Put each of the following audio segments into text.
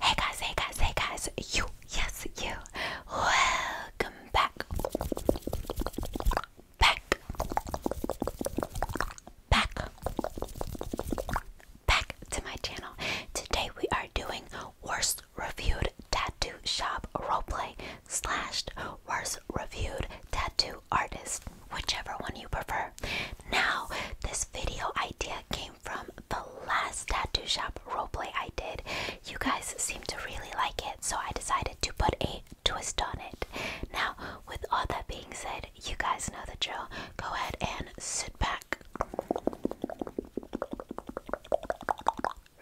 Hey guys, hey guys, hey guys, you, yes, you, welcome back, back, back, back to my channel. Today we are doing worst reviewed tattoo shop roleplay slashed worst reviewed tattoo artist, whichever one you prefer. Now, this video idea came from the last tattoo shop roleplay I did. You guys seem to really like it, so I decided to put a twist on it. Now, with all that being said, you guys know the drill. Go ahead and sit back,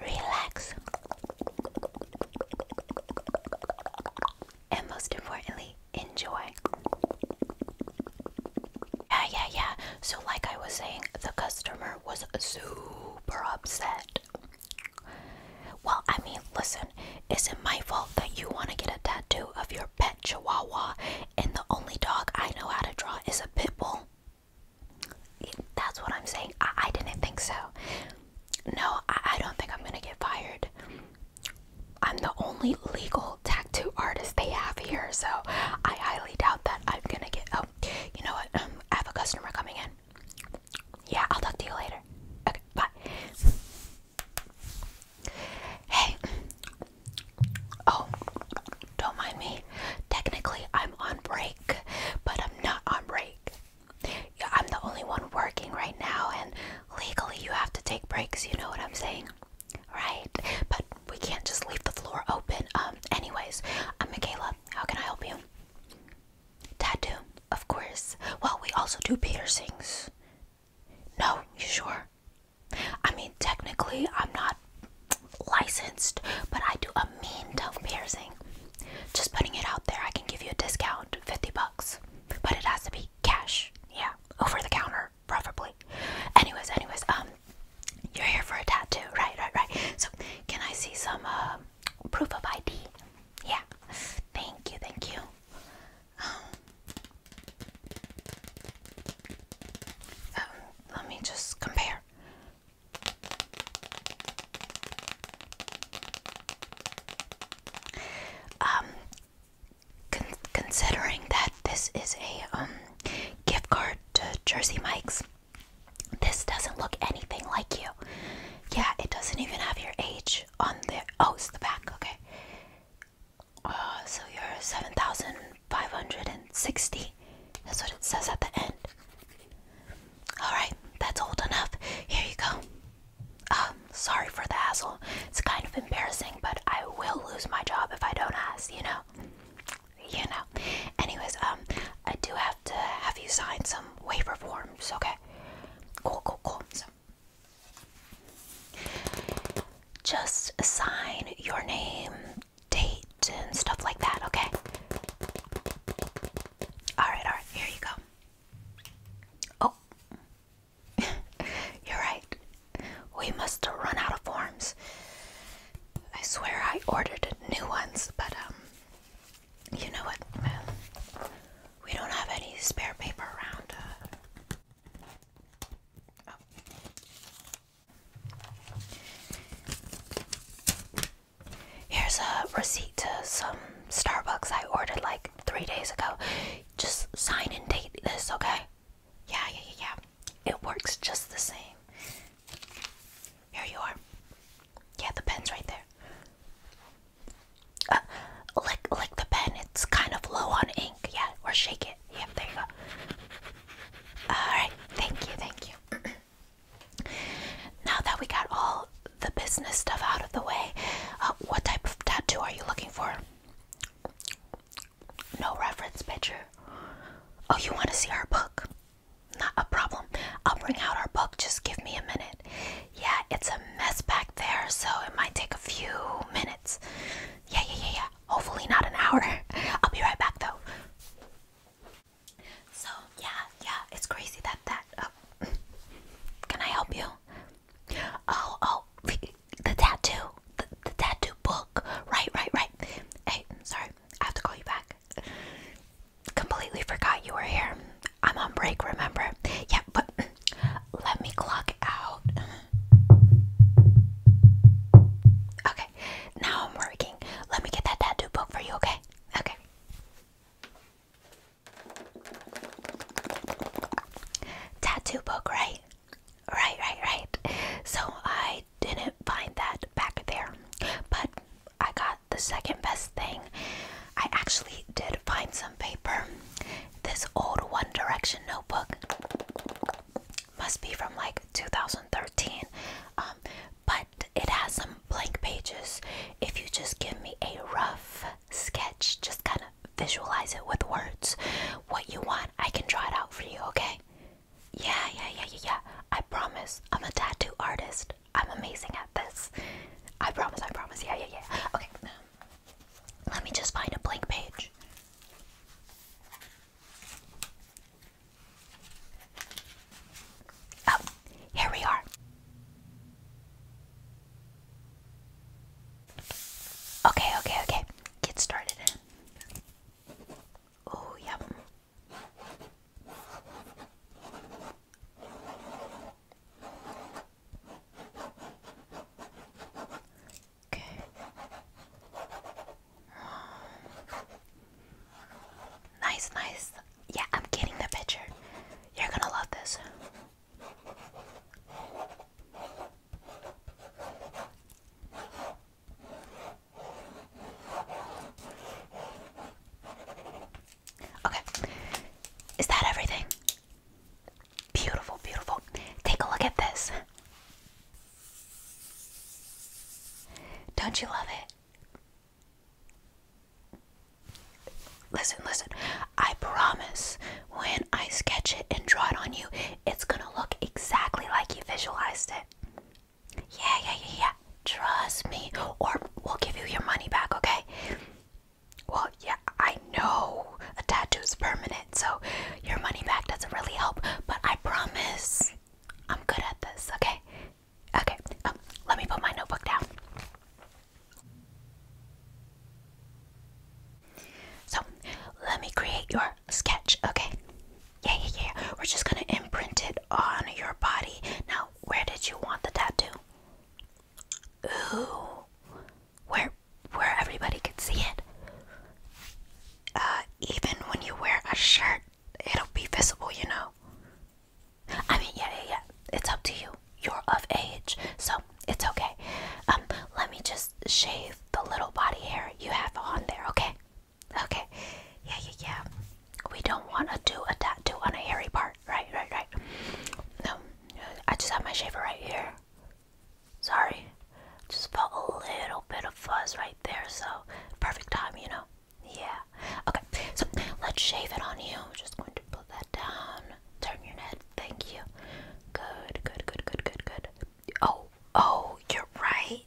relax, and most importantly, enjoy. Yeah, yeah, yeah. So, like I was saying, the customer was super upset. Well, I mean, listen, is not my fault that you want to get a tattoo of your pet chihuahua and the only dog I know how to draw is a pit bull? That's what I'm saying. I, didn't think so. No, I don't think I'm gonna get fired. I'm the only legal tattoo artist they have here, so I highly doubt that I'm gonna get. Oh, you know what? Um, I have a customer coming in. Yeah, I'll talk to you later. Okay, bye. Hey. Oh, don't mind me. Technically, I'm on break, but I'm not on break. Yeah, I'm the only one working right now, and legally you have to take breaks, you know what I'm saying? Right? But we can't just leave the floor open. Um, anyways, I'm Michaela. How can I help you? Tattoo, of course. Well, we also do piercings. No, you sure? I mean, technically, I'm not licensed, but I do a mean tongue piercing. Just putting it out there, I can give you a discount, 50 bucks. But it has to be cash. Yeah, over the counter, probably. Anyways, anyways, um, you're here for a tattoo, right? Right, right. So, can I see some um, proof of ID? Yeah. Thank you, thank you. Um, um, let me just compare. Um, considering that this is a um, gift card to Jersey Mike's, this doesn't look anything like you. Yeah, it doesn't even have your age on the. Oh, it's the back. Okay. Uh, so you're seven thousand five hundred and sixty. That's what it says at the end. Alright, that's old enough. Here you go. Um, sorry for the hassle. It's kind of embarrassing, but I will lose my job if I don't ask, you know? You know. Anyways, um, I do have to have you sign some waiver forms, okay? Cool, cool, cool. So just sign your name, date, and stuff like that, okay? Alright, alright, here you go. Oh, You're right. We must run out of forms. I swear I ordered new ones, but um you know what? We don't have any spare paper around. Uh, oh. Here's a receipt to some Starbucks I ordered like three days ago. Just sign and date this, okay? Yeah, yeah, yeah, yeah. It works just the same. Here you are. Yeah, the pen's right there. Uh, lick, lick the pen. It's kind of low on ink. Yeah, or shake it. Yeah, there you go. All right. Thank you. Thank you. now that we got all the business stuff out of the way, uh, what type of tattoo are you looking for? No reference picture. Oh, you want to see our book? Not a problem. I'll bring out our book. Just give me a minute. Yeah, it's a mess back there, so it might take a few minutes. Yeah, yeah, yeah, yeah. Hopefully, not an hour. I'll be right back though. So, yeah, yeah, it's crazy that that. Oh. Can I help you? Oh, oh, the tattoo, the, the tattoo book. Right, right, right. Hey, sorry, I have to call you back. Completely forgot you were here. I'm on break, remember? Yeah, but let me clock out. Okay, now I'm working. Let me get that tattoo book for you, okay? Okay. Tattoo book, right? Right, right, right. So I didn't find that back there, but I got the second best thing. I actually did find some paper. This old One Direction notebook must be from like 2013, um, but it has some blank pages. If you just give me a rough sketch, just kind of visualize it with words. What you want, I can draw it out for you, okay? Yeah, yeah, yeah, yeah, yeah. I promise. I'm a tattoo artist. I'm amazing at this. I promise, I promise. Yeah, yeah, yeah. Okay. Let me just find a blank page. Oh, here we are. Okay, okay, okay. Get started Oh, yep. Okay. Nice, nice. Yeah, I'm getting the picture. You're gonna love this. Okay, is that everything? Beautiful, beautiful. Take a look at this. Don't you love it? Listen, listen. I promise when I sketch it and draw it on you, it's gonna look exactly like you visualized it. Yeah, yeah, yeah, yeah. Trust me, or we'll give you your money back, okay? Well, yeah, I know a tattoo is permanent, so your money back doesn't really help, but I promise I'm good at this, okay? Okay, um, let me put my notebook down. So let me create your sketch, okay? Yeah, yeah, yeah. We're just gonna imprint it on your body. Now, where did you want the tattoo? Ooh, where where everybody could see it. Uh, even when you wear a shirt, it'll be visible, you know. I mean, yeah, yeah, yeah. It's up to you you're of age, so it's okay. Um, let me just shave the little body hair you have on there, okay? Okay, yeah, yeah, yeah. We don't want to do a tattoo on a hairy part, right? Right, right. No, I just have my shaver right here. Sorry, just put a little bit of fuzz right there, so perfect time, you know? Yeah, okay, so let's shave it on you. I'm just going to put that down. Turn your head. Thank you. Good, good, good, good, good, good. Oh, oh, you're right.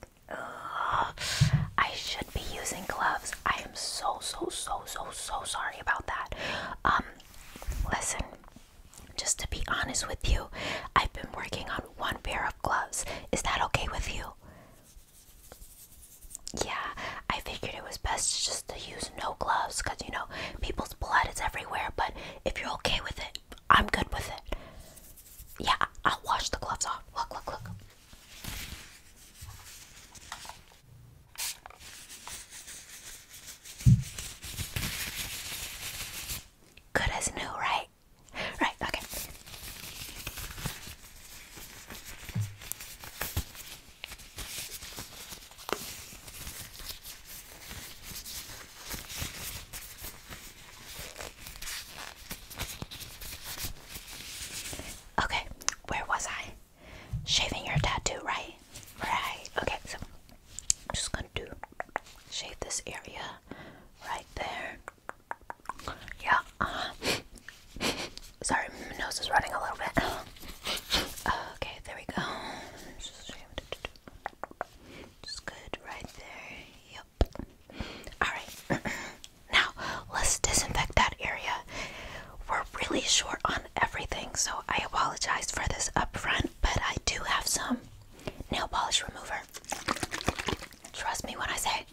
I should be using gloves. I am so, so, so, so, so sorry about that. Um, listen, just to be honest with you, I've been working on one pair of gloves. Is that okay with you? Yeah, I figured it was best just to use no gloves because you know people's blood is everywhere, but if you're okay with it, I'm good with it. Yeah, I'll wash the gloves off. Look, look, look. Good as new, right? Right, okay. Okay, where was I? Shaving your tattoo, right? Right. Okay, so I'm just gonna do shave this area right there. Yeah. Uh-huh. sorry, my nose is running a little bit. Okay, there we go. Just good right there. Yep. Alright. now, let's disinfect that area. We're really short on everything, so I apologize for this up front, but I do have some nail polish remover. Trust me when I say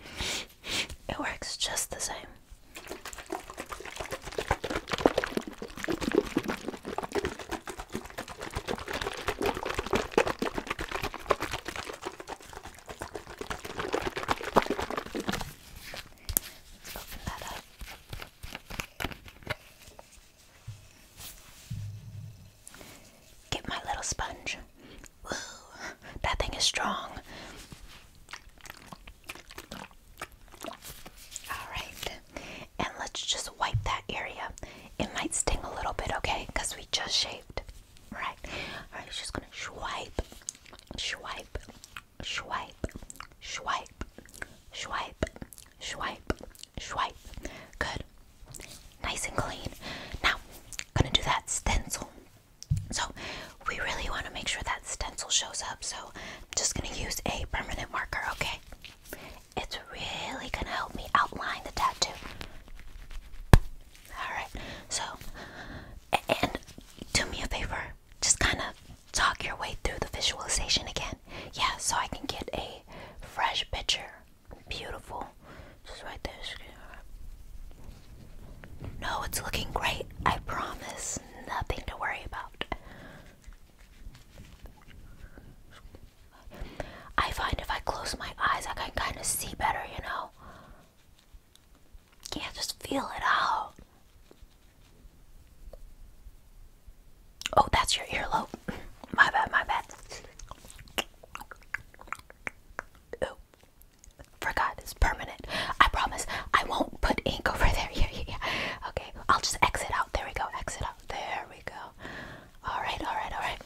it works just the same let my little sponge. that thing is strong. Alright, and let's just wipe that area. It might sting a little bit, okay? Because we just shaved. Right. Alright, just gonna swipe, swipe, swipe, swipe, swipe, swipe, swipe. Good. Nice and clean. Now, gonna do that stencil. So, we really want to make sure that stencil shows up. So, I'm just gonna use a permanent marker, okay? It's really gonna help me outline the tattoo. Alright, so, and do me a favor, just kind of talk your way through the visualization again. Yeah, so I can get a fresh picture. Beautiful. Just right there. No, it's looking great. I promise. Nothing to worry about. I find if I close my eyes, I can kind of see better, you know? Yeah, just feel it out. Oh, that's your earlobe. My bad, my bad. Oh, forgot it's permanent. I promise I won't put ink over there. Yeah, yeah, yeah. Okay. I'll just exit out. There we go. Exit out. There we go. All right, all right, all right.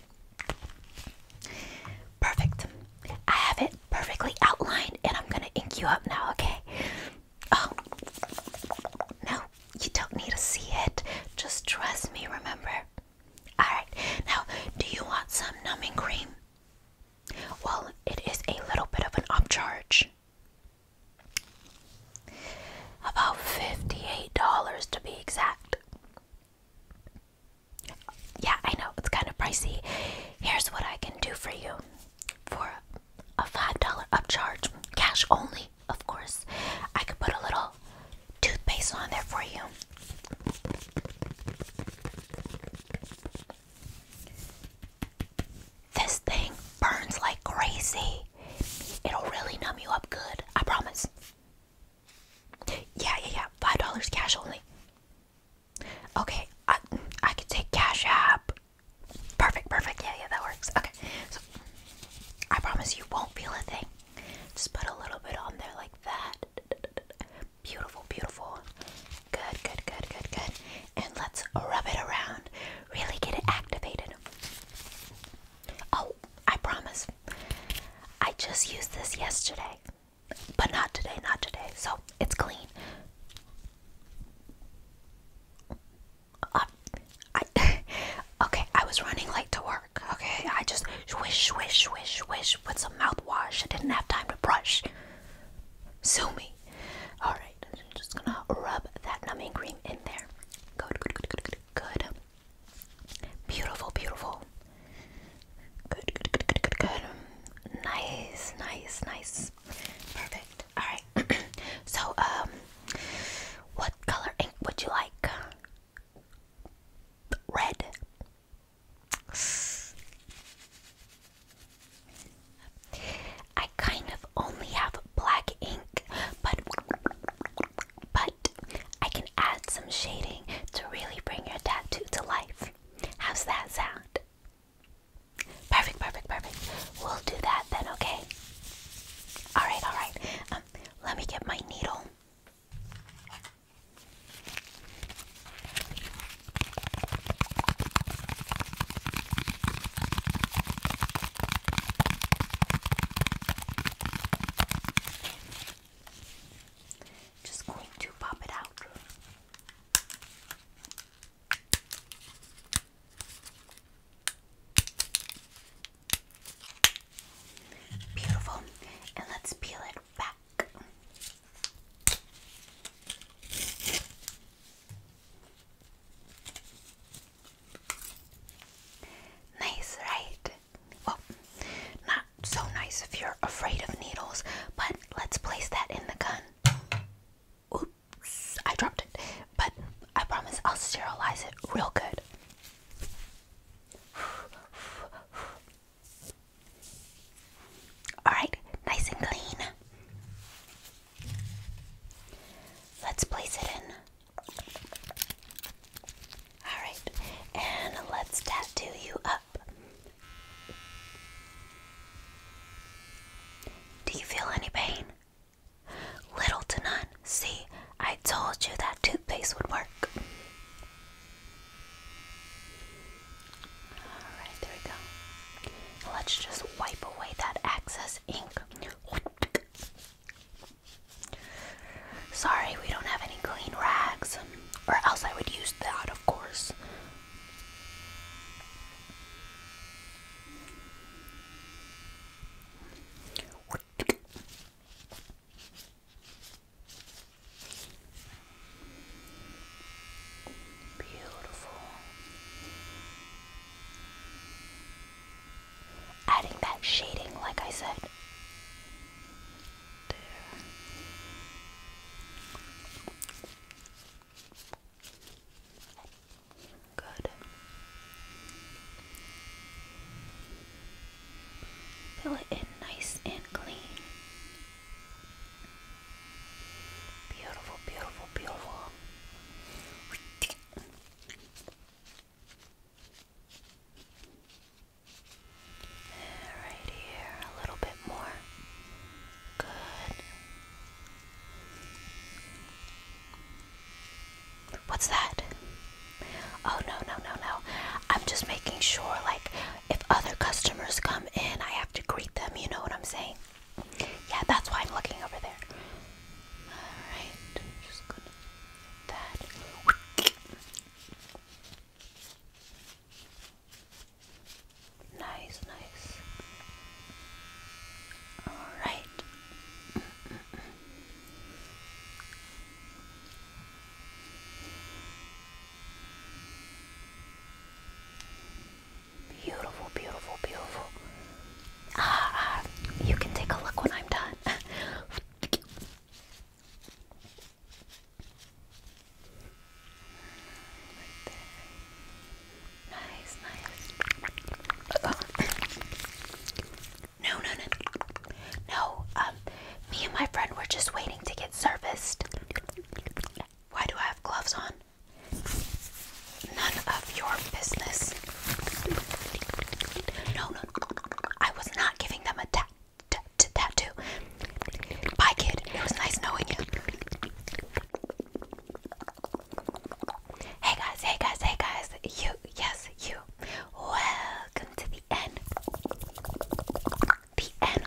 Perfect. I have it perfectly outlined and I'm going to ink you up now, okay? Oh, no, you don't need to see it. Just trust me, remember? All right, now, do you want some numbing cream? Well, it is a little bit of an upcharge. About $58 to be exact. Yeah, I know, it's kind of pricey. Here's what I can do for you for a $5 upcharge, cash only, of course. I could put a little toothpaste on there for you. This thing burns like crazy. It'll really numb you up good, I promise. Yeah, yeah, yeah. Five dollars cash only. Okay, I I could take cash app. Perfect, perfect. Yeah, yeah, that works. Okay, so I promise you won't feel a thing. Just put a little bit on there like that. Beautiful, beautiful. Good, good, good, good, good. And let's rub it around really get it activated. Oh, I promise. I just used this yesterday, but not today, not today. So it's clean. Uh, I, okay, I was running late to work. Okay, I just swish, swish, swish, swish with some mouthwash. I didn't have time to brush. Sue me. All right. I'm just gonna rub that numbing cream in there. Good, good, good, good, good, good. Beautiful, beautiful. Good, good, good, good, good, good. Nice, nice, nice. Perfect. Alright. so, um, what color ink would you like? Red. I kind of only have black ink, but but I can add some shading to really bring your tattoo to life. How's that sound? Perfect, perfect, perfect. We'll do that then, okay? All right, all right. Um, let me get my needle. Just going to pop it out. Beautiful. And let's peel it back. Nice, right? Well, not so nice if you're afraid of needles, but let's place that in the gun. Oops, I dropped it, but I promise I'll sterilize it real good. Alright, nice and clean. Let's place it in. Alright, and let's tattoo you up. Do you feel any pain? Little to none. See, I told you that toothpaste would work. Alright, there we go. Let's just wipe away that excess ink. Sorry, we don't have any clean rags, or else I would use that, of course. Beautiful. Adding that shading, like I said. There. Good. Fill it in nice and clean. Beautiful, beautiful, beautiful. Right here, a little bit more. Good. What's that? Oh, no, no, no, no. I'm just making sure, like, if other customers come in, I have to greet them. You know what I'm saying? Yeah, that's why I'm looking over there. Alright, just gonna that. Nice, nice. Alright. Beautiful, beautiful, beautiful. Ah, ah, you can take a look when I'm done. Nice, nice. No, no, no. No, um, me and my friend were just waiting to get serviced. Why do I have gloves on? None of your business. No, no, I was not giving them a tat t t tattoo. Bye, kid. It was nice knowing you. Hey guys, hey guys, hey guys. You, yes, you. Welcome to the end. The end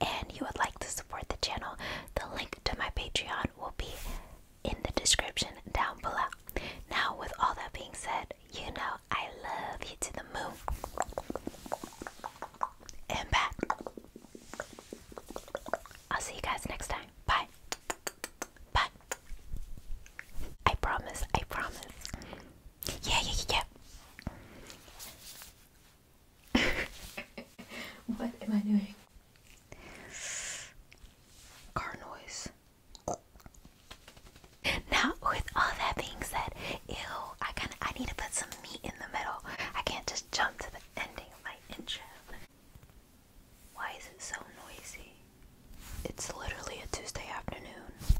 and you would like to support the channel, the link to my Patreon will be in the description down below. Now, with all that being said, you know I love you to the moon and back. I'll see you guys next time. Bye. Bye. I promise. I promise. Yeah, yeah, yeah, yeah. what am I doing? Car noise. Now, with all that being said, ew, I kind of I need to put some meat in the middle. I can't just jump to the ending of my intro. Why is it so noisy? It's literally a Tuesday afternoon.